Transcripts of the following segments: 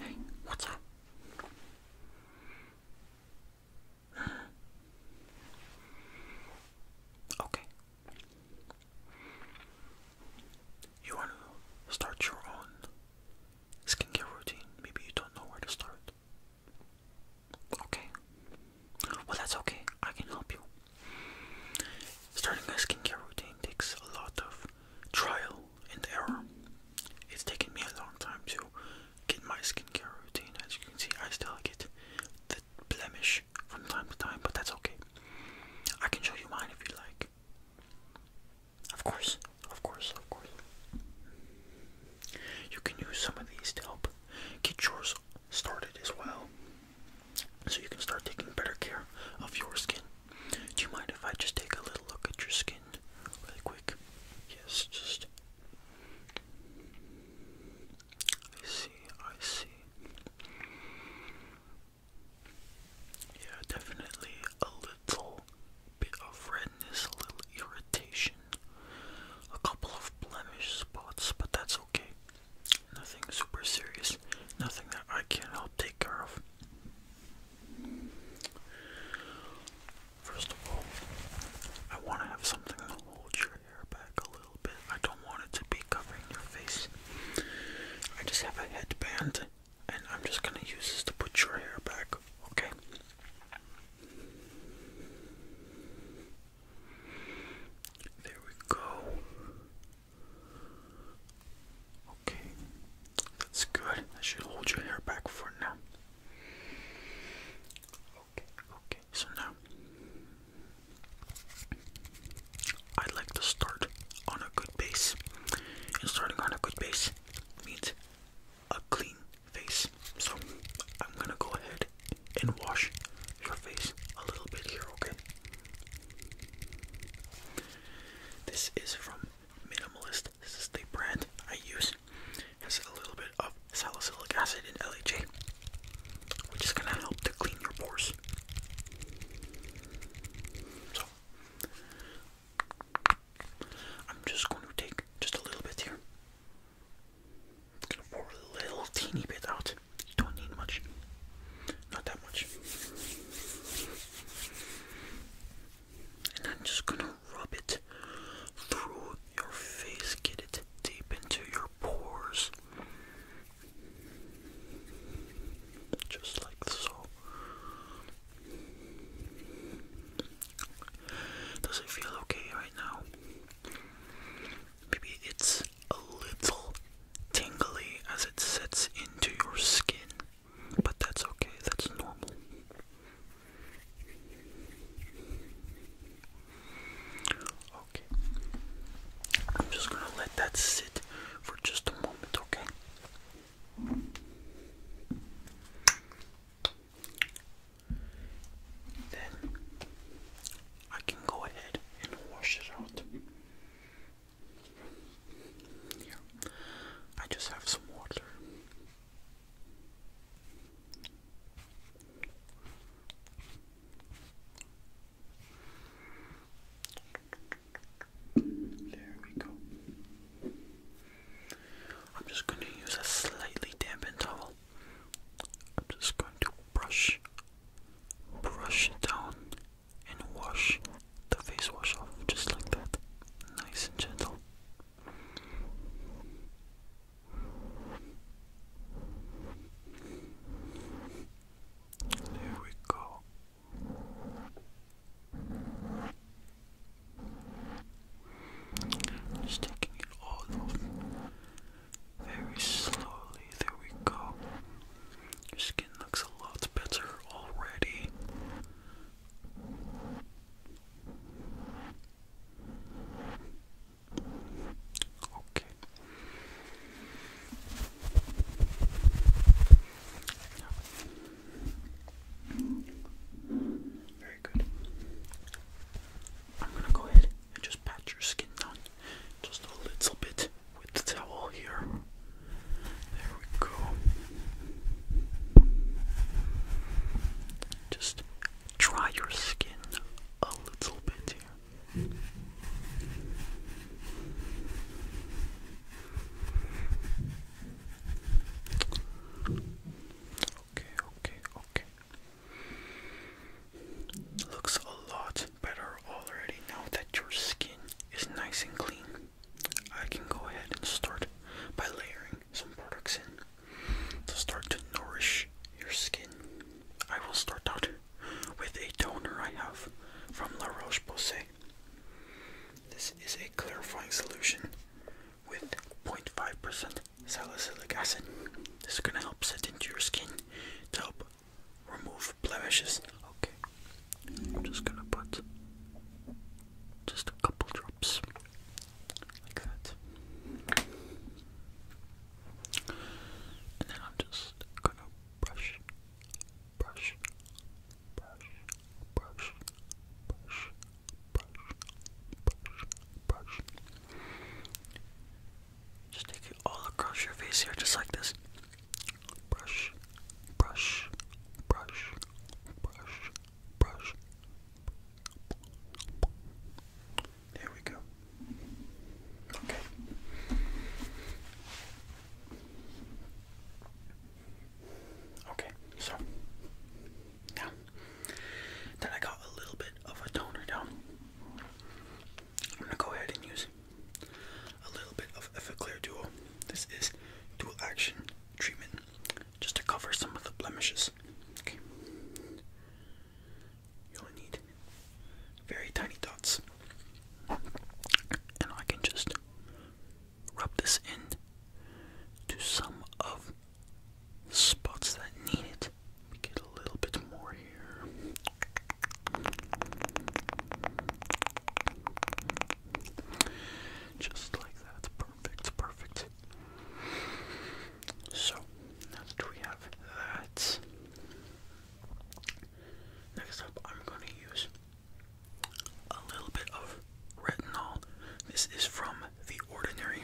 Hey, what's up? Okay. You want to start your own skincare routine? Maybe you don't know where to start. Okay. Well, that's okay. I can help you. Starting a skincare routine takes a lot of trial and error. It's taken me a long time to get my skincare routine. As you can see, I still get the blemish from time to time, but that's okay. I can show you mine if you like. Of course, of course, of course. You can use some of these to help get yours started as well so you can start taking better care of your skin. Do you mind if I just take a little look at your skin really quick? Yes, just. I see, I see. Yeah, definitely a little bit of redness, a little irritation, a couple of blemish spots, but that's okay. Nothing super serious. Nothing that I can't help take care of. First of all, I want to have something that holds your hair back a little bit. I don't want it to be covering your face. I just have a headband and I'm just going to use this to put your hair back, okay? There we go. Okay, that's good. I should hold your hair back for now. Okay, okay, so now I'd like to start on a good base. And starting on a good base means a clean face. So I'm gonna go ahead and wash your face a little bit here, okay? This is from Minimalist. This is the brand I use. Has a little bit of salicylic acid in LHA, which is gonna help to clean your pores. So I'm just going to take just a little bit here. gonna pour a little teeny bit out. Don't need much. Not that much. And I'm just gonna rub it through your face, get it deep into your pores. Just like so. Does it feel okay right now? Maybe it's a little tingly as it sets into your skin, but that's okay, that's normal. Okay, I'm just gonna let that sit for just a moment, okay? Then I can go ahead and wash it out. Yeah, I just have some water. There we go. I'm just going to use a slightly dampened towel. I'm just going to brush, brush down and wash the face wash off just like that. Nice and gentle. There we go. Just taking it all off very slowly. There we go. Your skin looks a lot better already. Okay. Very good. I'm gonna go ahead and just pat your skin down just a little bit with the towel here. There we go. Just dry your skin a little bit Okay, okay, okay. Looks a lot better already now that your skin is nice and clean. I can go ahead and start by layering some products in to start to nourish your skin. I will start out with a toner I have from La Roche-Posay. This is a clarifying solution with 0.5% salicylic acid. This is going to help set into your skin to help Remove blemishes. Okay. I'm just gonna put just a couple drops like that. And then I'm just gonna brush, brush, brush, brush, brush, brush, brush, brush. Just take it all across your face here, just like this. Brush, brush, brush, brush, brush. There we go. Okay. Okay, so now that I got a little bit of a toner down, I'm gonna go ahead and use a little bit of Effaclar Duo. This is dual action treatment just to cover some of the blemishes. Okay. You only need very tiny dots. And I can just rub this in to some of the spots that need it. get a little bit more here. Just like that. Perfect, perfect. So, now that we have that, next up I'm going to use a little bit of retinol. This is from The Ordinary.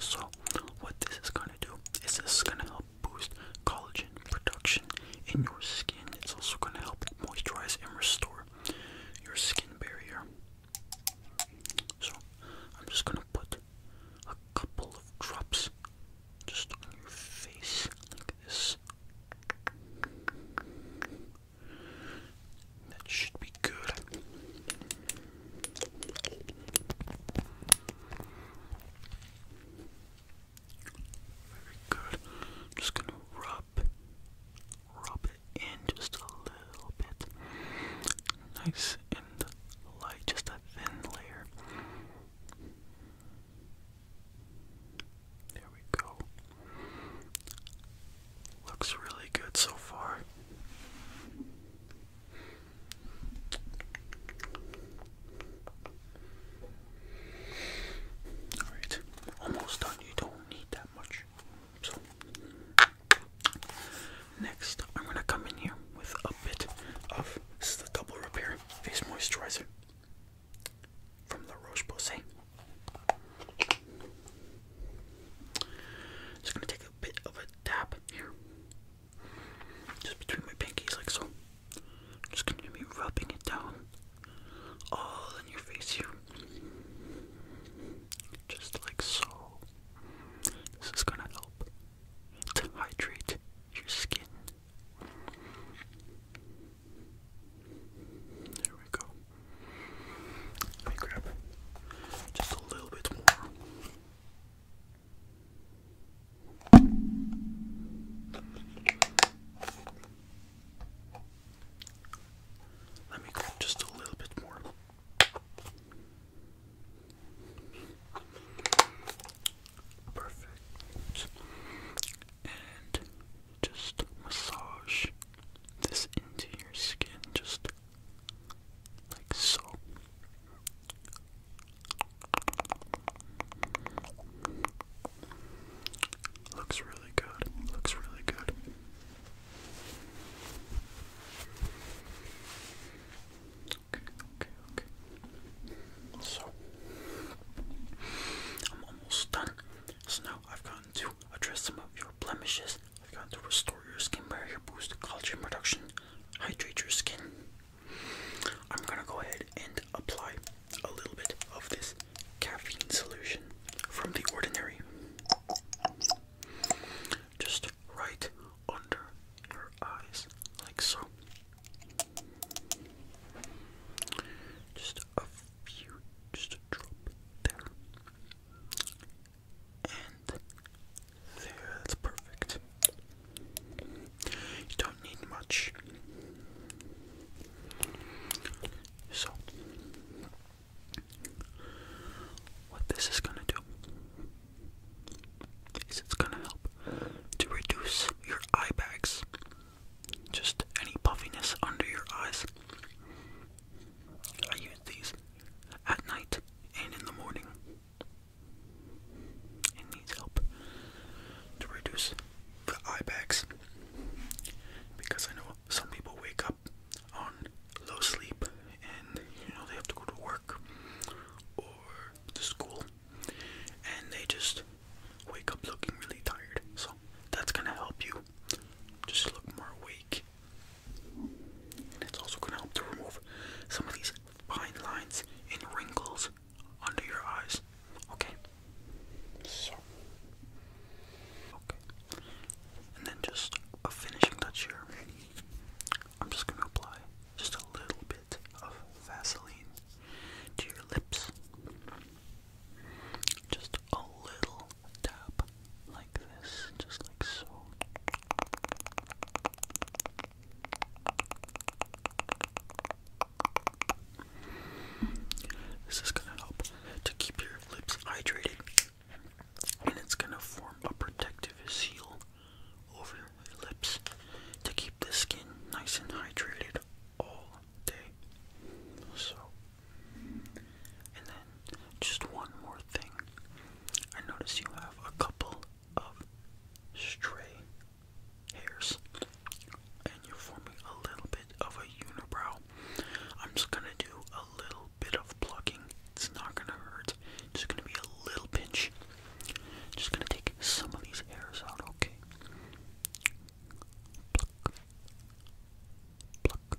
So, what this is going to do is this is going to help boost collagen production in your skin. It's also going to help moisturize and restore your skin barrier. So, I'm just going to put a couple of drops just on your face like this. That should be good. Very good. just gonna rub, rub it in just a little bit. Nice and light, just a thin layer. There we go. Looks really good so far. Alright, almost done. You don't need that much. So, next, I'm going to come in here with a bit of this is the double repair face moisturizer from the Roche Posay. Just going to take a bit of a tap here just between my pinkies, like so. Just gonna be rubbing it down all in your face here. Just like so. This is gonna help to hydrate your skin. There we go. Let me grab just a little bit more. Let me grab just a little bit more. Perfect. And just massage this into your skin. Just like so. Looks really good. Looks really good. Okay, okay, okay. So, I'm almost done. So now I've gotten to address some of your blemishes I've got to restore your skin barrier, boost collagen production, hydrate your skin. I'm gonna go ahead and apply a little bit of this caffeine solution from The Ordinary. Just right under your eyes, like so. Just a few, just a drop there and there, that's perfect. You don't need much. So, what this is going to do is it's going to help to reduce your eye bags, just any puffiness under your eyes. I use these at night and in the morning, and needs help to reduce the eye bags because I know some people wake up on low sleep and you know they have to go to work or to school and they just wake up looking really tired so that's gonna help you just look more awake it's also going to help to remove some of these fine lines and wrinkles under your eyes. Okay? So. Okay. And then just a finishing touch here. I'm just going to apply just a little bit of Vaseline to your lips. Just a little dab like this, just like so. This is going to help to keep your lips hydrated and it's going to form a protective seal over your lips to keep the skin nice and hydrated all day. So, and then just one more thing. I notice you have a couple of stray hairs. And you're forming a little bit of a unibrow. I'm just gonna do a little bit of plucking. It's not gonna hurt. Just gonna be a little pinch. Just gonna take some of these hairs out, okay? Pluck. Pluck.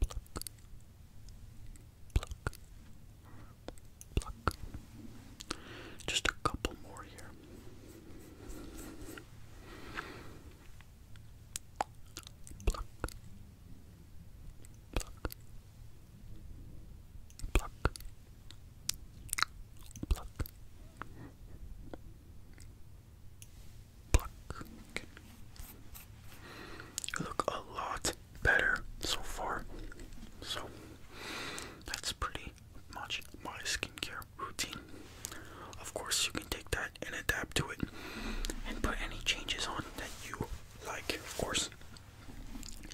pluck, pluck, pluck. Just a couple more here. Pluck, pluck, pluck, pluck. Pluck. Look a lot better so far. So that's pretty much my skincare routine. Of course, you can take that and adapt to it and put any changes on that you like, of course. You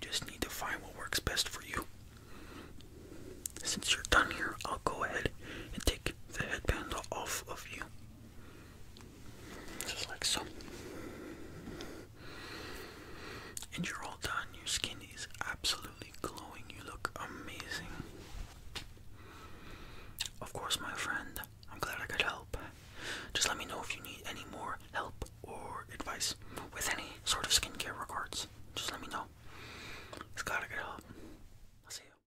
just need to find what works best for you. Since you're done here, I'll go ahead and take the headband off of you. Just like so. And you're all done. Your skin is absolutely glowing. You look amazing. Of course, my friend, I'm glad I could help. Just let me know if you need any more help or advice with any sort of skincare regards. Just let me know. It's glad I could help. I'll see you.